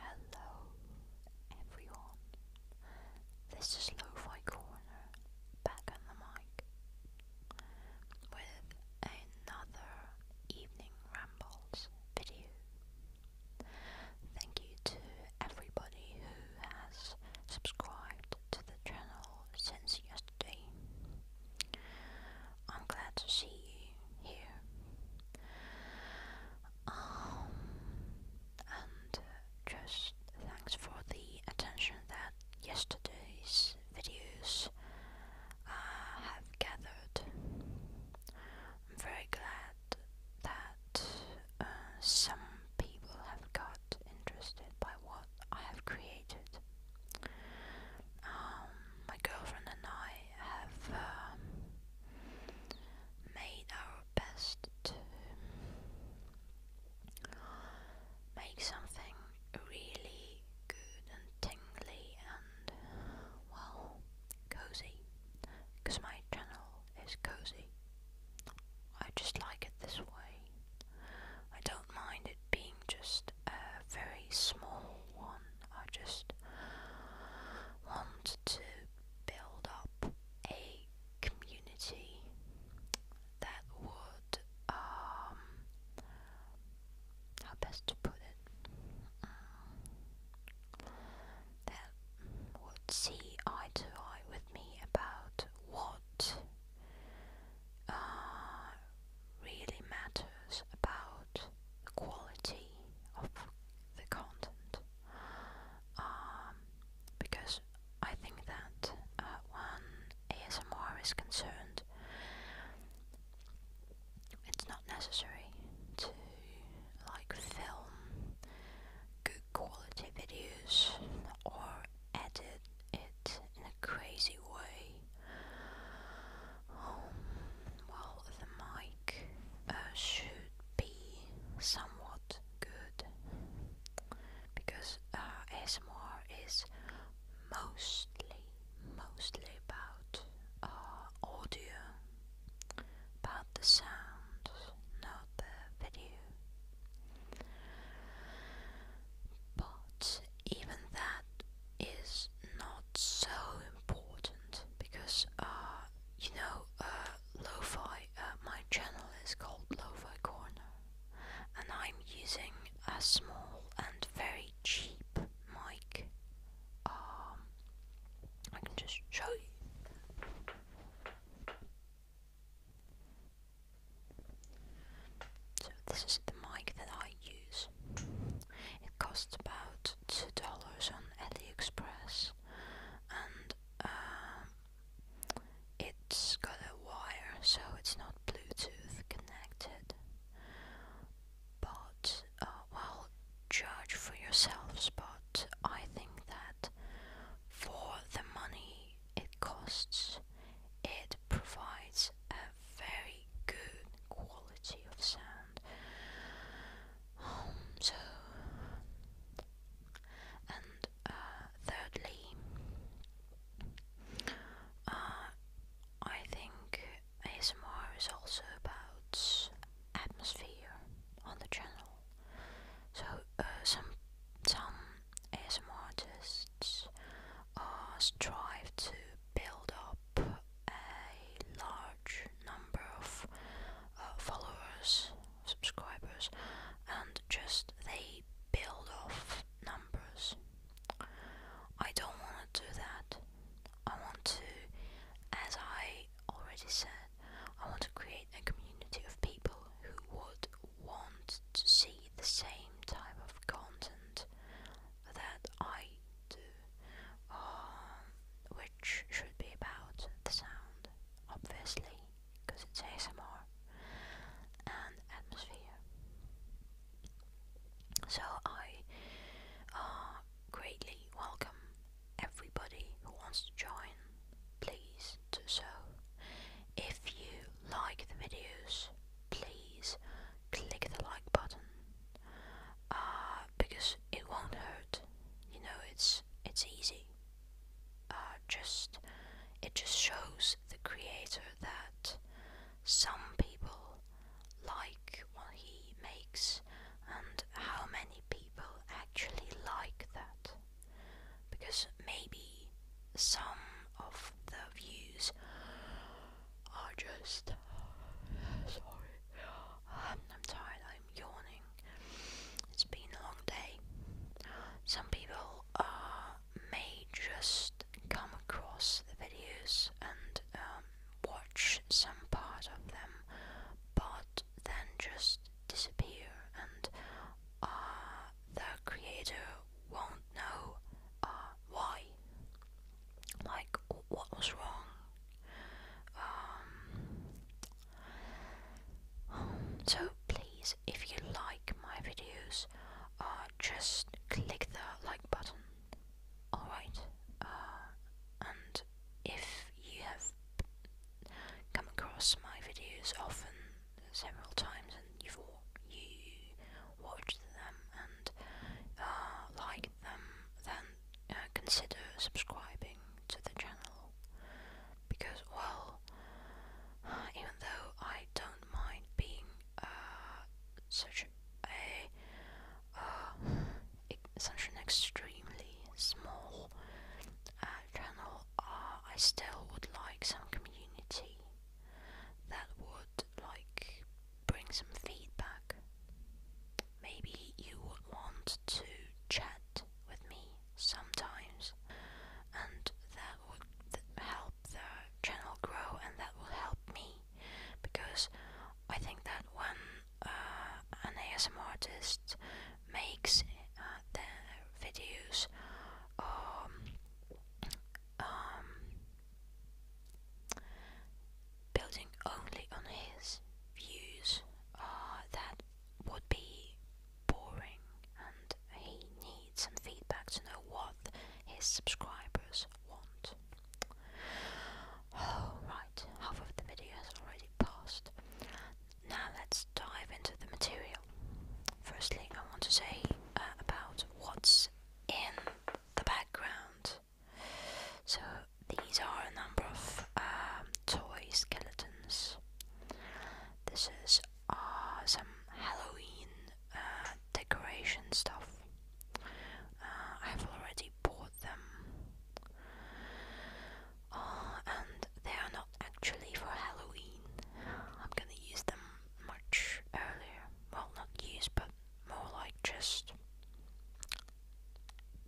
Hello everyone, this is Lo-Fi Corner back on the mic with another Evening Rambles video. Thank you to everybody who has subscribed to the channel since yesterday. I'm glad to see you here. Um, and uh, just thanks for the attention that yesterday's videos uh, have gathered. I'm very glad that uh, some people have got interested by what I have created. Um, my girlfriend and I have um, made our best to make something really good and tingly and well cozy because my channel is cozy. I just like it this way. I don't mind it being just a very small one. I just want to build up a community that would, um, how best to put it, mm. that would see eye to eye with me about what uh, really matters about the quality of the content um, because I think that uh, when ASMR is concerned, it's not necessary to like film good quality videos or edit it in a crazy way. Um, well, the mic uh, should be somewhat good because uh, ASMR is mostly, mostly about uh, audio, about the sound, not the video. But even that is not so important because uh, you know uh, lofi. Uh, my channel is called Lo-fi Corner, and I'm using a small and very cheap mic. Um, I can just show you. So this is the mic that I use. It costs about two dollars on AliExpress, and um, it's got a wire, so it's not Bluetooth connected. But uh, well, judge for yourselves. But I think that for the money it costs, it provides a very good quality of sound. Um, so and uh, thirdly uh, I think ASMR is also about atmosphere on the channel so uh, some some ASMR artists strive to build up a large number of uh, followers, subscribers, and just they build off numbers. I don't want to do that. I want to, as I already said, I want to create a community of people who would want to see the same type of content that I do. Uh, which should be about the sound, obviously, because it's ASMR, and atmosphere. So I uh, greatly welcome everybody who wants to join, please do so. If you like the videos, please click the like button uh, because it won't hurt. You know, it's it's easy. Uh, just it just shows the creator that some people like what he makes and how many people actually like that. Because maybe some of the views are just sorry. I'm, tired yawning. It's been a long day. Some people uh, may just come across the videos and um, watch some part of them, but then just disappear, and uh, the creator won't know uh, why. Like, what was wrong? Um, so please, if you like my videos, uh, just click the like button. Alright, uh, and if you have come across my videos often, several times, and you've you watched them and uh, liked them, then uh, consider subscribing to the channel because, well, even though I don't mind being uh, such a uh, such an extremely small uh, channel, I still would like some community that would like bring some feedback. Maybe you want to chat with me sometimes, and that would help the channel grow, and that will help me because I think that when uh, an ASM artist makes uh, their videos, um, um, building only on his views uh, that would be boring and he needs some feedback to know what his subscribers want. Oh, right, half of the video has already passed. Now let's dive into the material. Firstly, I want to say uh, about what's in the background so these are a number of um, toy skeletons. This is uh, some Halloween uh, decoration stuff. Uh, I've already bought them. Uh, and they are not actually for Halloween. I'm gonna use them much earlier. Well, not use, but more like just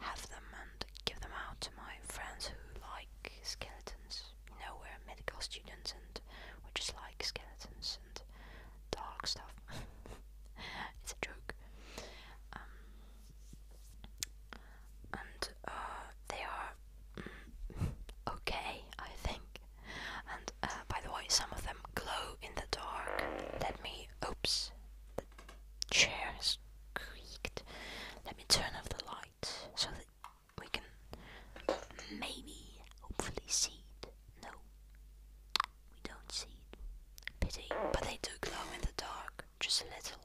have them and give them out to my friends who like skeletons. You know, we're medical students and we just like skeletons and dark stuff. it's a joke. Um, and uh, they are mm, okay, I think. And uh, by the way, some of them glow in the dark. Let me, oops, Chairs creaked. Let me turn off the light so that we can maybe, hopefully, see it. No, we don't see it. Pity, but they do glow in the dark, just a little.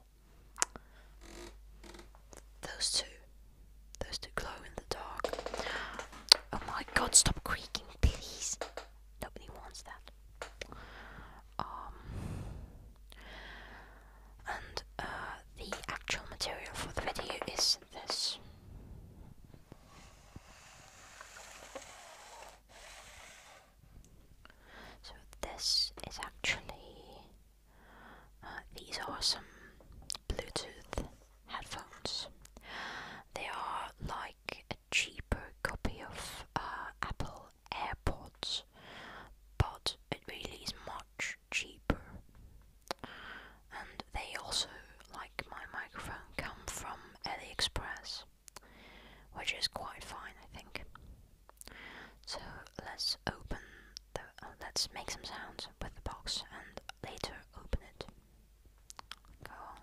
Those two, those two glow in the dark. Oh my god, stop creaking, please. Nobody wants that. Um, and uh, the actual material for the video is this. So this is actually, uh, these are some Bluetooth headphones. They are like a cheaper copy of uh, Apple call AirPods, but it really is much cheaper. And they also, like my microphone, come from AliExpress, which is quite fine, I think. So let's open the. Uh, let's make some sounds with the box and later open it. Go on.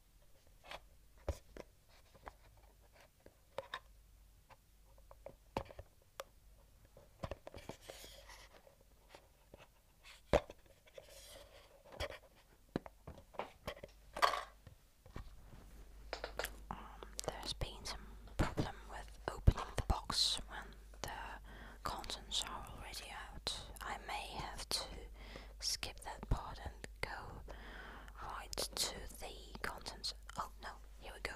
there's been some problem with opening the box when the contents are already out. I may have to skip that part and go right to the contents. Oh no, here we go.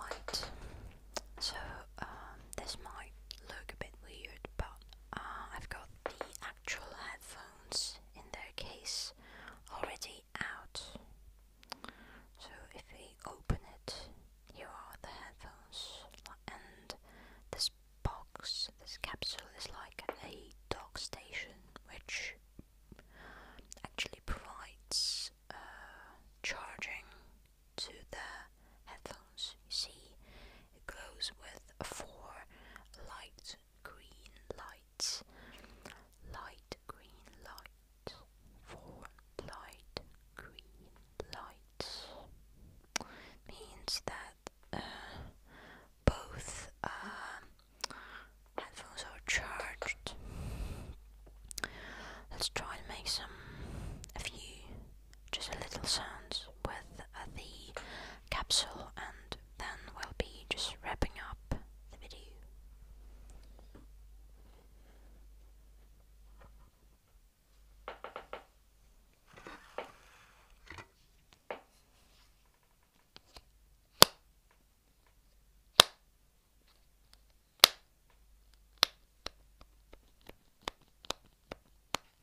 Right, so um, this might look a bit weird, but uh, I've got the actual headphones in their case already out. So if we open it, here are the headphones, and this box, this capsule is like a dock station, which actually provides uh, charging to the headphones. You see, it glows with four lights green lights, light green light, four light green lights means that uh, both uh, headphones are charged. Let's try and make some a few just a little sounds with uh, the capsule and then we'll be just wrapping up the video.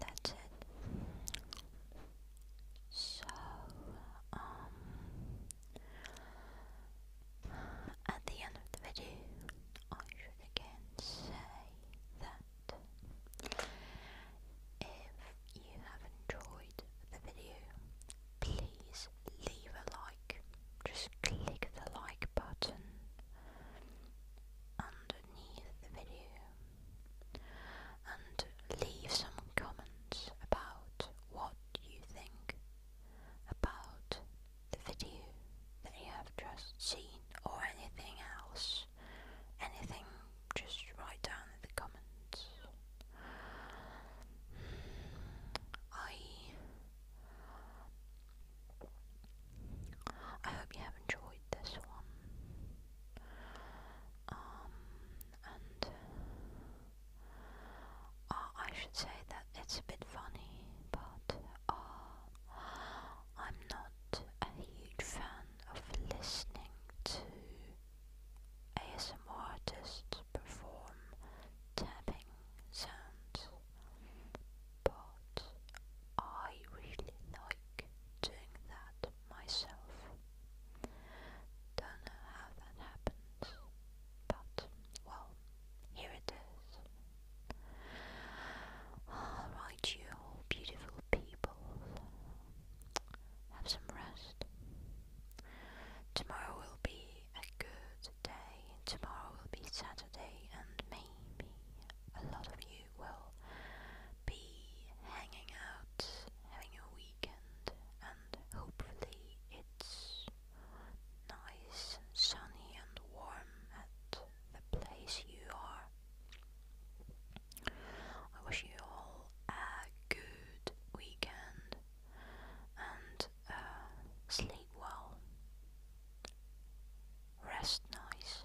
That's it. So, um, at the end of the video, I should again say that that. If you have enjoyed the video, please leave a like. Just click the like button underneath the video and leave some comments about what you think about the video that you have just seen or anything else anything, just write down in the comments. I I hope you have enjoyed this one. Um, and uh, I should say that it's a bit funny, but uh, I'm not a huge fan of listening to ASMR artists perform tapping sounds, but I really like doing that myself. Don't know how that happens, but well, here it is. Alright, you beautiful people have some rest. Tomorrow will be a good day. and Tomorrow will be Saturday, and maybe a lot of you will be hanging out, having a weekend, and hopefully it's nice and sunny and warm at the place you are. I wish you all a good weekend and uh, sleep well, rest nice,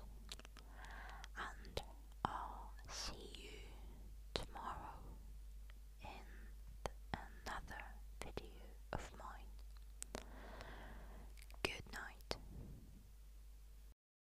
and I'll see you tomorrow in another video of mine. Good night.